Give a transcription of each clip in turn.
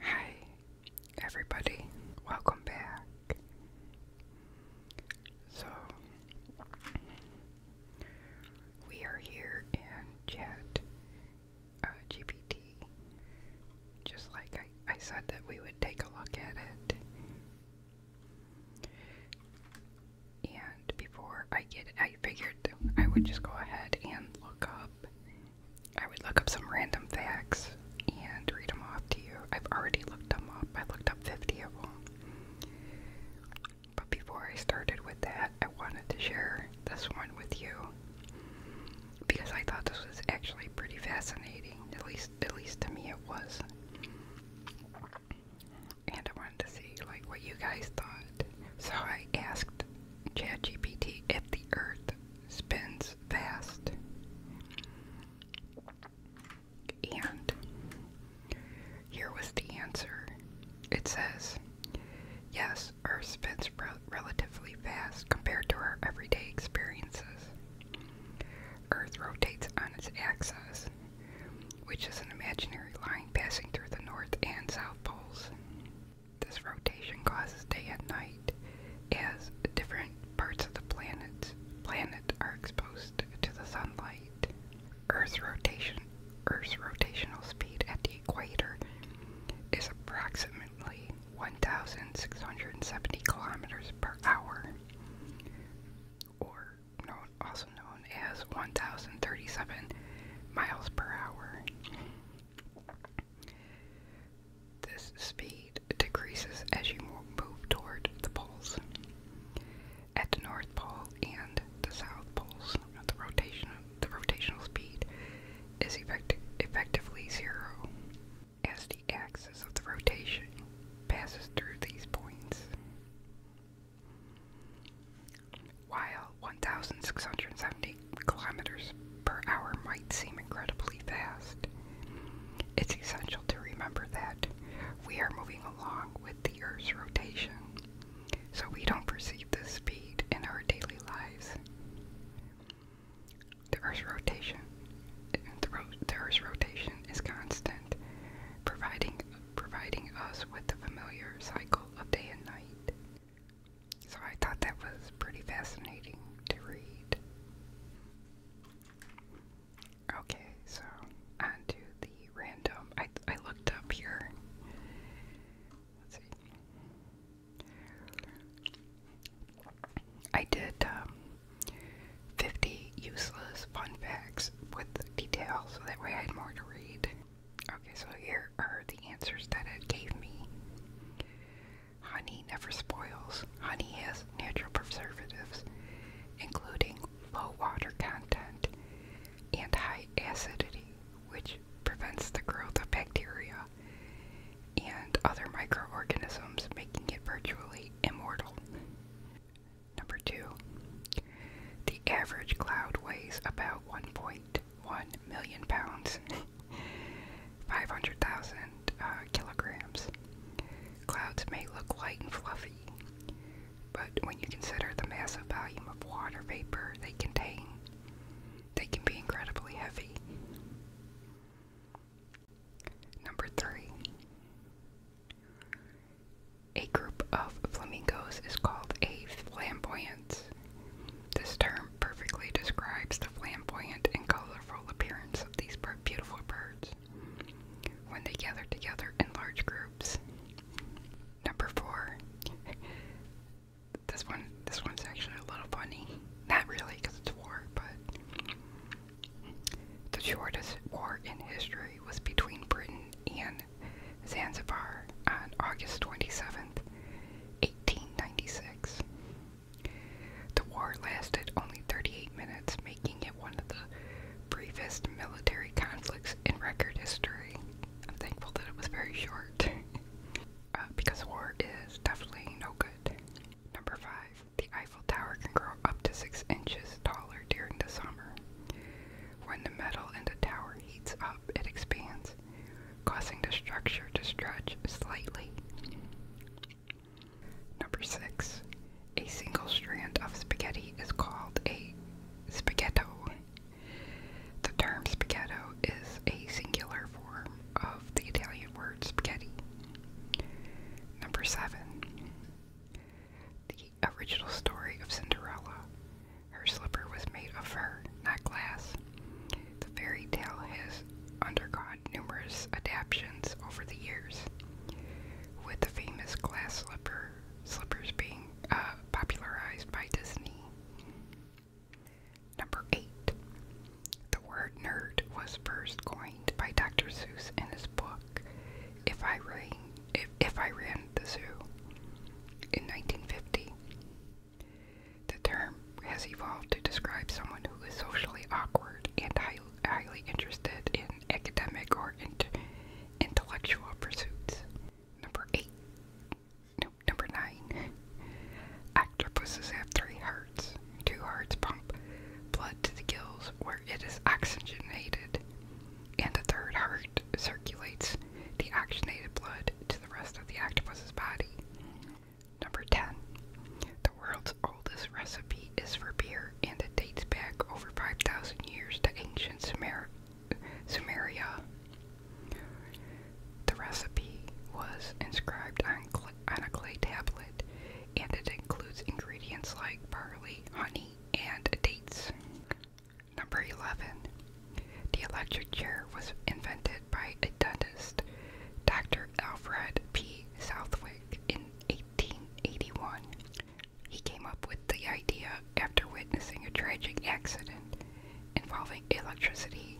Hi, everybody, welcome back. So, we are here in Chat uh, GPT. Just like I said that we would take a look at it. And before I get, I figured I would just go ahead and look up I would look up some random facts and read them off to you. I've already looked them up. I looked up 50 of them. But before I started with that, I wanted to share this one with you because I thought this was actually pretty fascinating. At least at least to me it was. And I wanted to see like what you guys thought. So I asked ChatGPT if the earth spins fast. And here was the answer. It says, yes, Earth spins relatively fast compared to our everyday experiences. Earth rotates on its axis, which is an imaginary line passing through the North and South Poles. This rotation causes day and night as different parts of the planet planet are exposed to the sunlight. Earth's rotation Earth's rotational speed at the equator is approximately 1,670 kilometers per hour, or also known as 1,037 miles per hour. This speed decreases as you move toward the poles. At the North Pole and the South Poles, the rotational speed is effectively zero as the axis of the rotation passes through these points. While 1,670 kilometers per hour might seem incredibly fast. It's essential to remember that we are moving along with the Earth's rotation, so we don't perceive the speed in our daily lives. The Earth's rotation, the Earth's rotation is constant, providing providing us with the familiar cycle of day and night. So I thought that was pretty fascinating to read. Okay, so on the random. I, I looked up here. Let's see. I did um, 50 useless fun facts with detail, so that way I had more to read. Okay, so here are the answers that it gave me. Honey never spoils. Honey has natural preservatives, including low water content and high acidity, which prevents the growth of bacteria and other microorganisms, making it virtually immortal. Number two, the average cloud weighs about 1.1 million pounds. 500,000 uh, kilograms. Clouds may look light and fluffy, but when you consider the massive volume of water vapor they contain, they can be incredibly heavy. Number three. A group of flamingos is called a flamboyance. This term perfectly describes the flamboyant and colorful appearance of these beautiful birds when they gather together in large groups. Number four. This one, this one's actually a little funny. Not really, because it's war, but the shortest war in history was between Britain and Zanzibar on August 27th, 1896. The war lasted only 38 minutes, making it one of the briefest military conflicts in record history. thankful that it was very short, uh, because war is definitely no good. Number 5. The Eiffel Tower can grow up to 6 inches taller during the summer. When the metal in the tower heats up, it expands, causing the structure to stretch slightly. Number six, a single strand of spaghetti is called a spaghetto. The term spaghetto is a singular form of the Italian word spaghetti. Number seven, the original story of Cinderella. Her slipper was made of fur, not glass the fairy tale has undergone numerous adaptations over the years, with the famous glass slipper, slippers being uh, popularized by Disney. Number 8. The word nerd was first coined by Dr. Seuss in his book, if I Ran the Zoo, in 1950. The term has evolved to describe someone who is socially awkward and highly interested in academic or intellectual pursuits. Number eight. No, number nine. Octopuses have three hearts. Two hearts pump blood to the gills where it is oxygenated, and a third heart circulates the oxygenated blood to the rest of the octopus's body. Number 10. The world's oldest recipe is for beer, and it dates back over 5,000 years to ancient Sumeria. The recipe was inscribed on a clay tablet, and it includes ingredients like barley, honey, and dates. Number 11. The electric chair was invented by a dentist, Dr. Alfred P. Southwick in 1881. He came up with the idea after witnessing a tragic accident involving electricity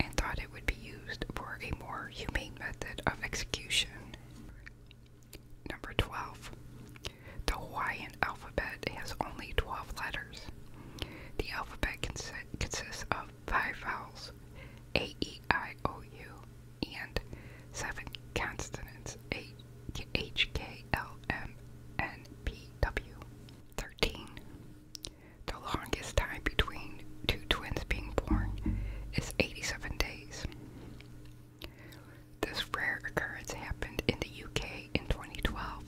and thought it would be used for a more humane method of execution. Number 12. The Hawaiian alphabet has only 12 letters. The alphabet consi consists of five vowels A, E, I, O, U, and seven consonants A H K L M N P W. Thirteen. The longest time between two twins being born is 87 days. This rare occurrence happened in the UK in 2012,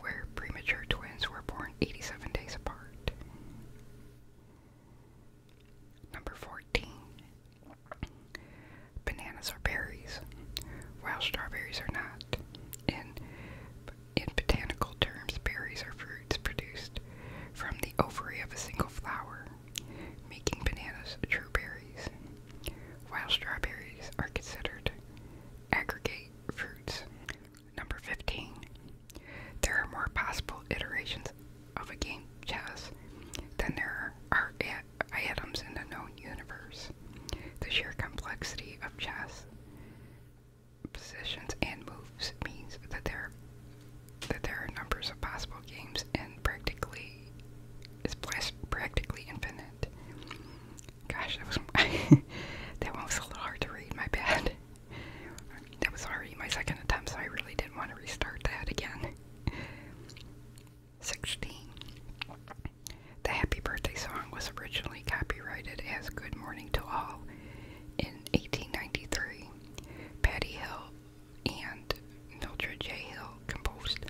where premature twins were born 87 days apart. Number 14. Bananas are berries, while strawberries are not. In, in botanical terms, berries are fruits produced from the ovary of a single flower, making bananas true berries, while strawberries are considered aggregate fruits. Number 15. There are more possible iterations of a game chess then there are items in the known universe. The sheer complexity of chess positions and moves means that there that there are numbers of possible games and practically is practically infinite. Gosh, that was that one was a little hard to read. My bad that was already my second attempt, so I really didn't want to restart that again. 16. The Happy Birthday song was originally copyrighted as Good Morning to All in 1893. Patty Hill and Mildred J. Hill composed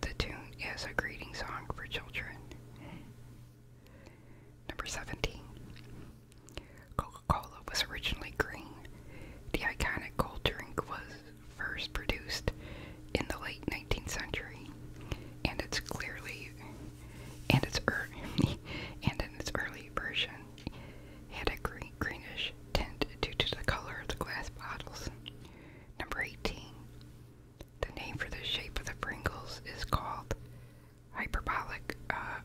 the tune as a greeting song for children. Number 17. Coca Cola was originally green. The iconic cold drink was first produced in the late 19th century, and it's clearly and its early and in its early version had a green, greenish tint due to the color of the glass bottles. Number 18. The name for the shape of the Pringles is called hyperbolic uh,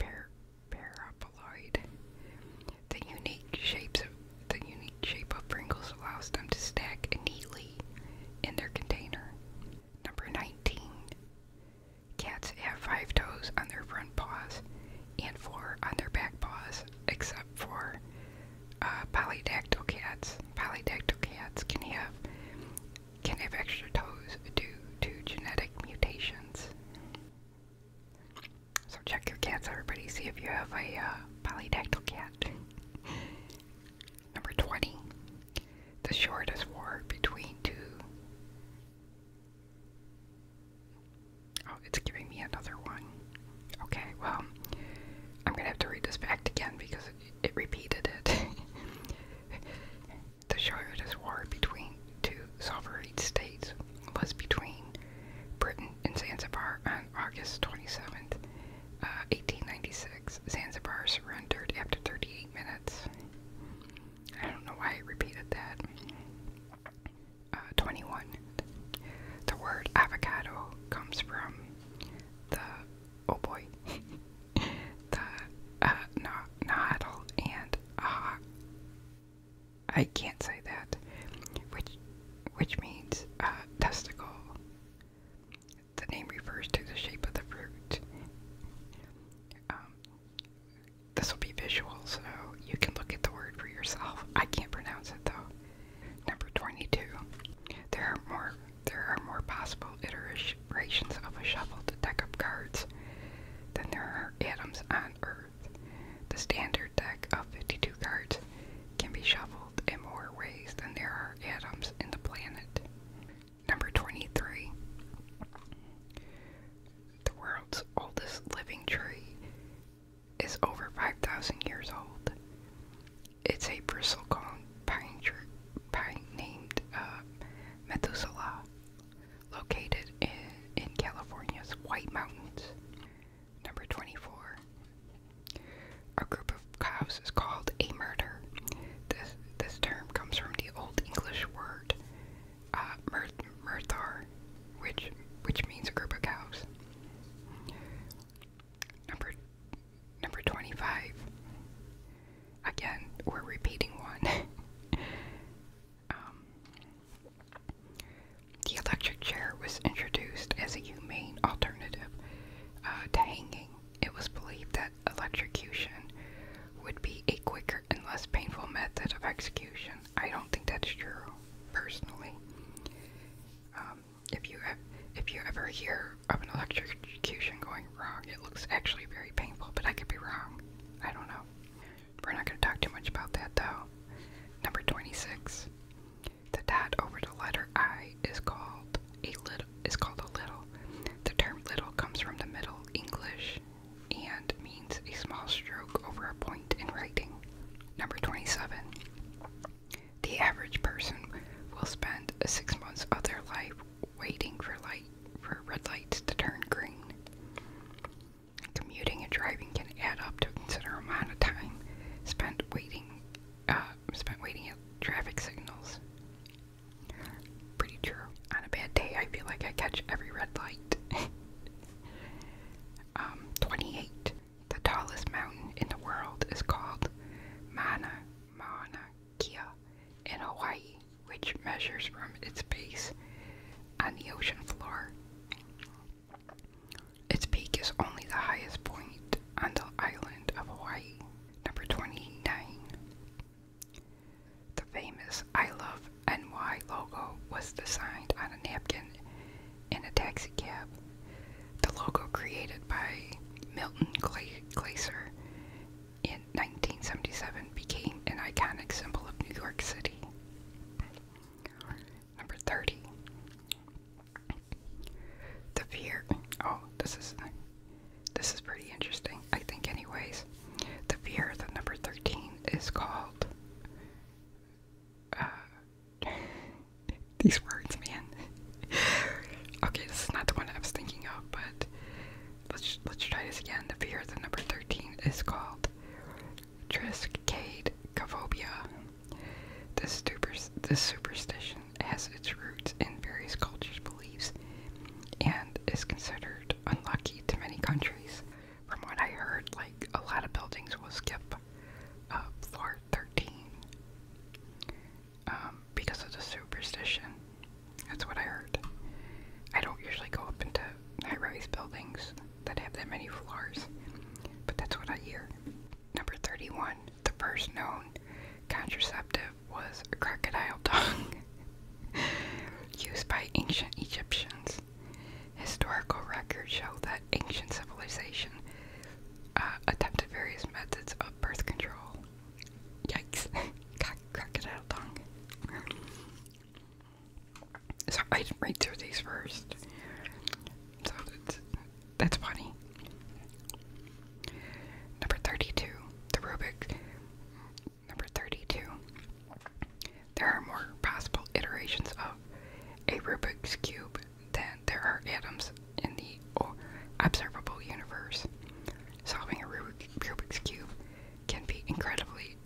per paraboloid. The unique shapes the unique shape of Pringles allows them to stack neatly in their container. Number 19. Cats have five toes on their front paws and four on their back paws, except for uh, polydactyl cats. Polydactyl cats can have can have extra toes due to genetic mutations. So check your cats, everybody. See if you have a uh, polydactyl cat. Number 20. The shortest war between two. Oh, it's giving me another one. Okay, well, I'm gonna have to read this back again because it repeated it. The shortest war between two sovereign states was between Britain and Zanzibar on August 27, uh, 1896. Zanzibar surrendered after 38 minutes. I don't know why I repeated that. Uh, 21. The word avocado comes from the, oh boy, the uh, na nahdl and ah, I can't say that, which which means uh, testicle. The name refers to the shape of the fruit. Um, this will be visual, so you can look at the word for yourself. I can't pronounce it though. Number twenty-two. There are more. There are more possible iterations of a shovel to deck up cards than there are atoms on Earth. The standard deck of 52 cards can be shuffled in more ways than there are atoms in the planet. Number 23. The world's oldest living tree is over 5,000 years old. It's a bristlecone pine, pine named uh, Methuselah, located in, California's White Mountains. Number 24. A group of cows is called a murder. This, this term comes from the Old English word uh, mur which, which means a group of cows. Number, number 25. Again, we're repeating one. Um, the electric chair was introduced as a humane alternative uh, to hanging. It was believed that electrocution would be a quicker and less painful method of execution. I don't think that's true, personally. Um, if you if you ever hear of an electrocution going wrong, it looks actually very painful, but I could be wrong. I don't know. We're not going to talk too much about that though. Number 26. The dot over the letter I is called a little The term little comes from the Middle English and means a small stroke over a point in writing. Number 27. The average person will spend 6 months of their life waiting for light for red lights to turn green. Commuting and driving can add up to a considerable amount of time spent waiting, uh, spent waiting at traffic signals. Pretty true. On a bad day, I feel like I catch every red light. Um, 28. The tallest mountain in the world is called Mauna Mauna Kea in Hawaii, which measures from its base on the ocean floor its peak is only the highest point on the island of Hawaii. Number 29. The famous I Love NY logo was designed on a napkin in a taxi cab. The logo created by Milton Glaser in 1977 became an iconic symbol of New York City. Number 30. The fear. Oh, this is this is pretty interesting, I think anyways. The fear that number 13 is called uh, these words, man. okay, this is not the one I was thinking of, but let's let's try this again. The fear that number 13 is called Triskade This, super, this superstition has its roots in various cultures' beliefs and is considered unlucky to many countries. From what I heard, like a lot of buildings will skip uh, floor 13 um, because of the superstition. That's what I heard. I don't usually go up into high-rise buildings that have that many floors, but that's what I hear. Number 31, the first known contraceptive was a crocodile tongue used by ancient Egyptians. Historical records show that ancient civilization uh, attempted various methods of birth control. Yikes. Crocodile tongue. So I didn't read through these first. So that's, that's funny. Number 32. The Rubik. Number 32. There are more possible iterations of a Rubik's Cube than there are atoms in the observable universe. Solving a Rubik's Cube can be incredibly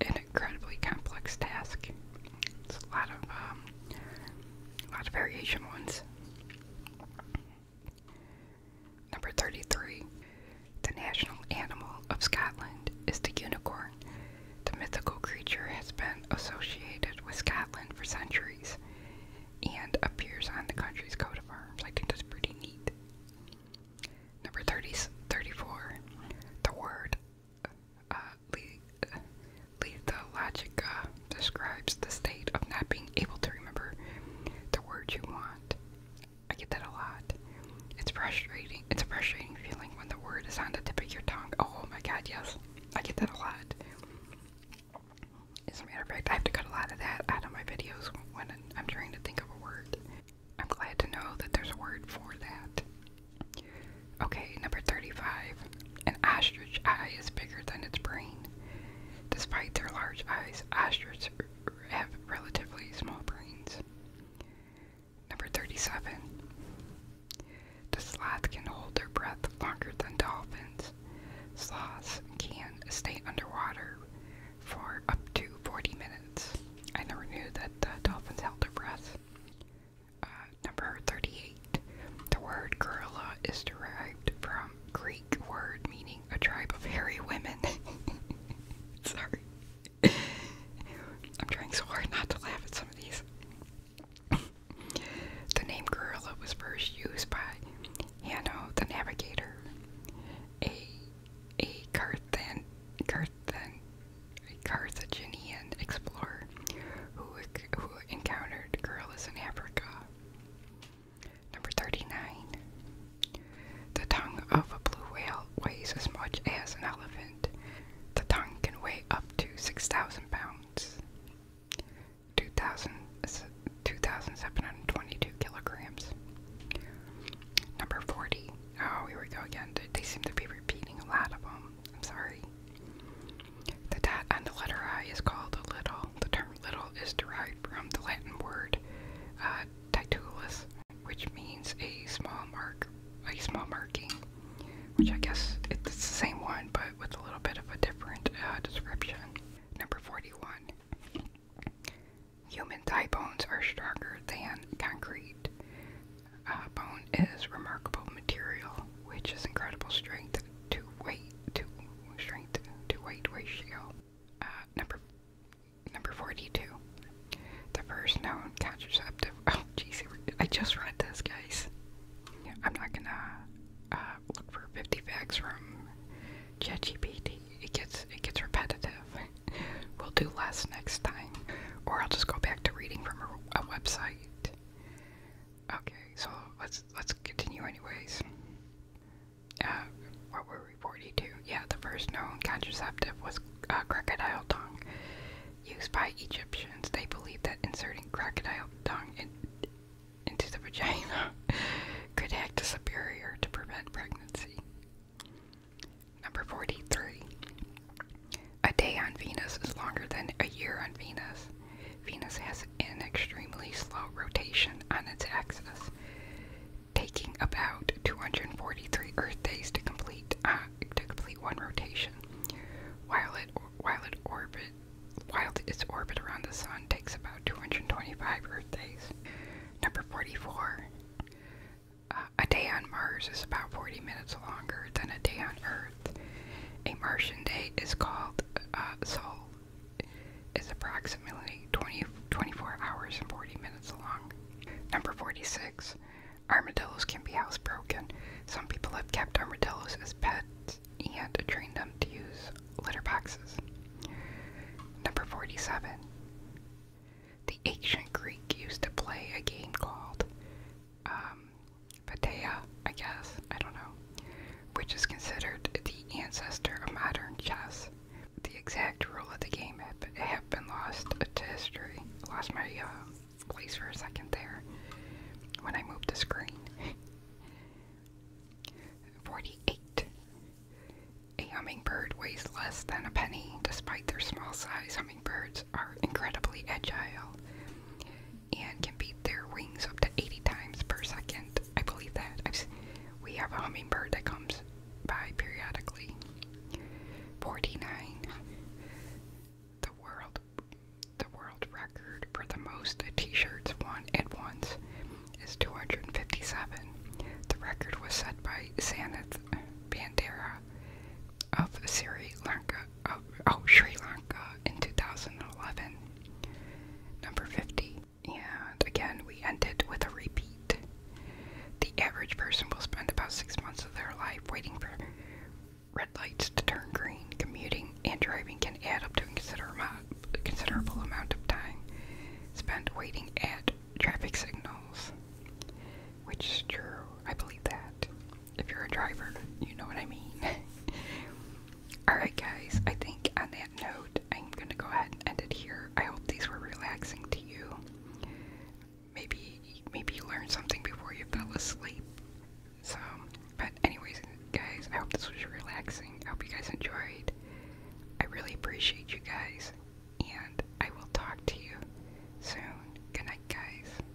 an incredibly complex task. It's a lot of um, lot of variation ones. Number 33. The national animal of Scotland is the unicorn. The mythical creature has been associated with Scotland for centuries and appears on the country's coat of arms. I think that's pretty neat. Number 30, 34. The word uh, lethologica describes the state of not being able to remember the word you want. I get that a lot. It's frustrating. It's a frustrating feeling when the word is on the tip of your tongue. Oh my god, yes. I get that a lot. As a matter of fact, I have to cut a lot of that out of my videos when I'm trying to think of a word. I'm glad to know that there's a word for that. Okay, number 35. An ostrich eye is bigger than its brain. Despite their large eyes, ostriches have relatively small brains. Number 37. The sloth can hold their breath longer than dolphins. Sloths can stay underwater for up to 40 minutes. I never knew that uh, dolphins held their breath. Uh, number 38. The word gorilla is derived from Greek word meaning a tribe of hairy women. Sorry. I'm trying so hard not to laugh at some of these. the name gorilla was first used by Hanno the Navigator, a, a Carthan, Carthan, a Carthaginian explorer who, who encountered gorillas in Africa. Number 39. The tongue of a blue whale weighs as much as an elephant. The tongue can weigh up to 6,000 pounds, 2,722 kilograms. Number 40. Oh, here we go again. They seem to be repeating a lot of them. I'm sorry. The dot on the letter I is called a little. The term little is derived from the Latin word uh, titulus, which means a small mark, a small marking, which I guess it's the same one, but with a little bit of a different uh, description. Number 41. Human thigh bones are stronger than concrete. Uh, bone is remarkable material, which is incredible strength to weight to strength to weight ratio. Uh, number number forty-two. The first known contraceptive. Oh, jeez, I just read this, guys. I'm not gonna uh, look for fifty facts from ChatGPT. It gets it gets repetitive. we'll do less next time, or I'll just go back to reading from a, a website. Okay, so let's let's continue anyways. Uh, what were we 42? Yeah, the first known contraceptive was uh, crocodile tongue, used by Egyptians. They believed that inserting crocodile tongue into the vagina could act as a barrier to prevent pregnancy. Number 43. A day on Venus is longer than a year on Venus. Venus has an extremely slow rotation on its axis, taking about 243 Earth days to complete uh, one rotation. While its orbit around the Sun takes about 225 Earth days. Number 44. Uh, a day on Mars is about 40 minutes longer than a day on Earth. A Martian day is called uh, Sol. Is approximately 20, 24 hours and 40 minutes long. Number 46. Armadillos can be housebroken. Some people have kept armadillos as pets and trained them to use litter boxes. Number 47. The ancient Greek used to play a game called um, Paideia, I guess, I don't know, which is considered the ancestor of modern chess. The exact rule of the game have been lost to history. Lost my uh, place for a second there when I moved the screen. 48. A hummingbird weighs less than a penny. Despite their small size, hummingbirds are incredibly agile and can beat their wings up to 80 times per second. I believe that. I've, we have a hummingbird that comes by periodically. 49. The world the world record for the most t-shirts won at once is 257. The record was set by Sanith Bandera of Sri Lanka oh Sri Lanka in 2011. Number 50. And again, we ended with a repeat. The average person will spend about six months of their life waiting for red lights to turn green. Commuting and driving can add up to a considerable amount of time spent waiting at traffic signals, which is true. I believe that if you're a driver, you know what I mean. Alright, guys, I think on that note, I'm gonna go ahead and end it here. I hope these were relaxing to you. Maybe, maybe you learned something before you fell asleep. So, but anyways, guys, I hope this was relaxing. I hope you guys enjoyed. I really appreciate you guys, and I will talk to you soon. Good night, guys.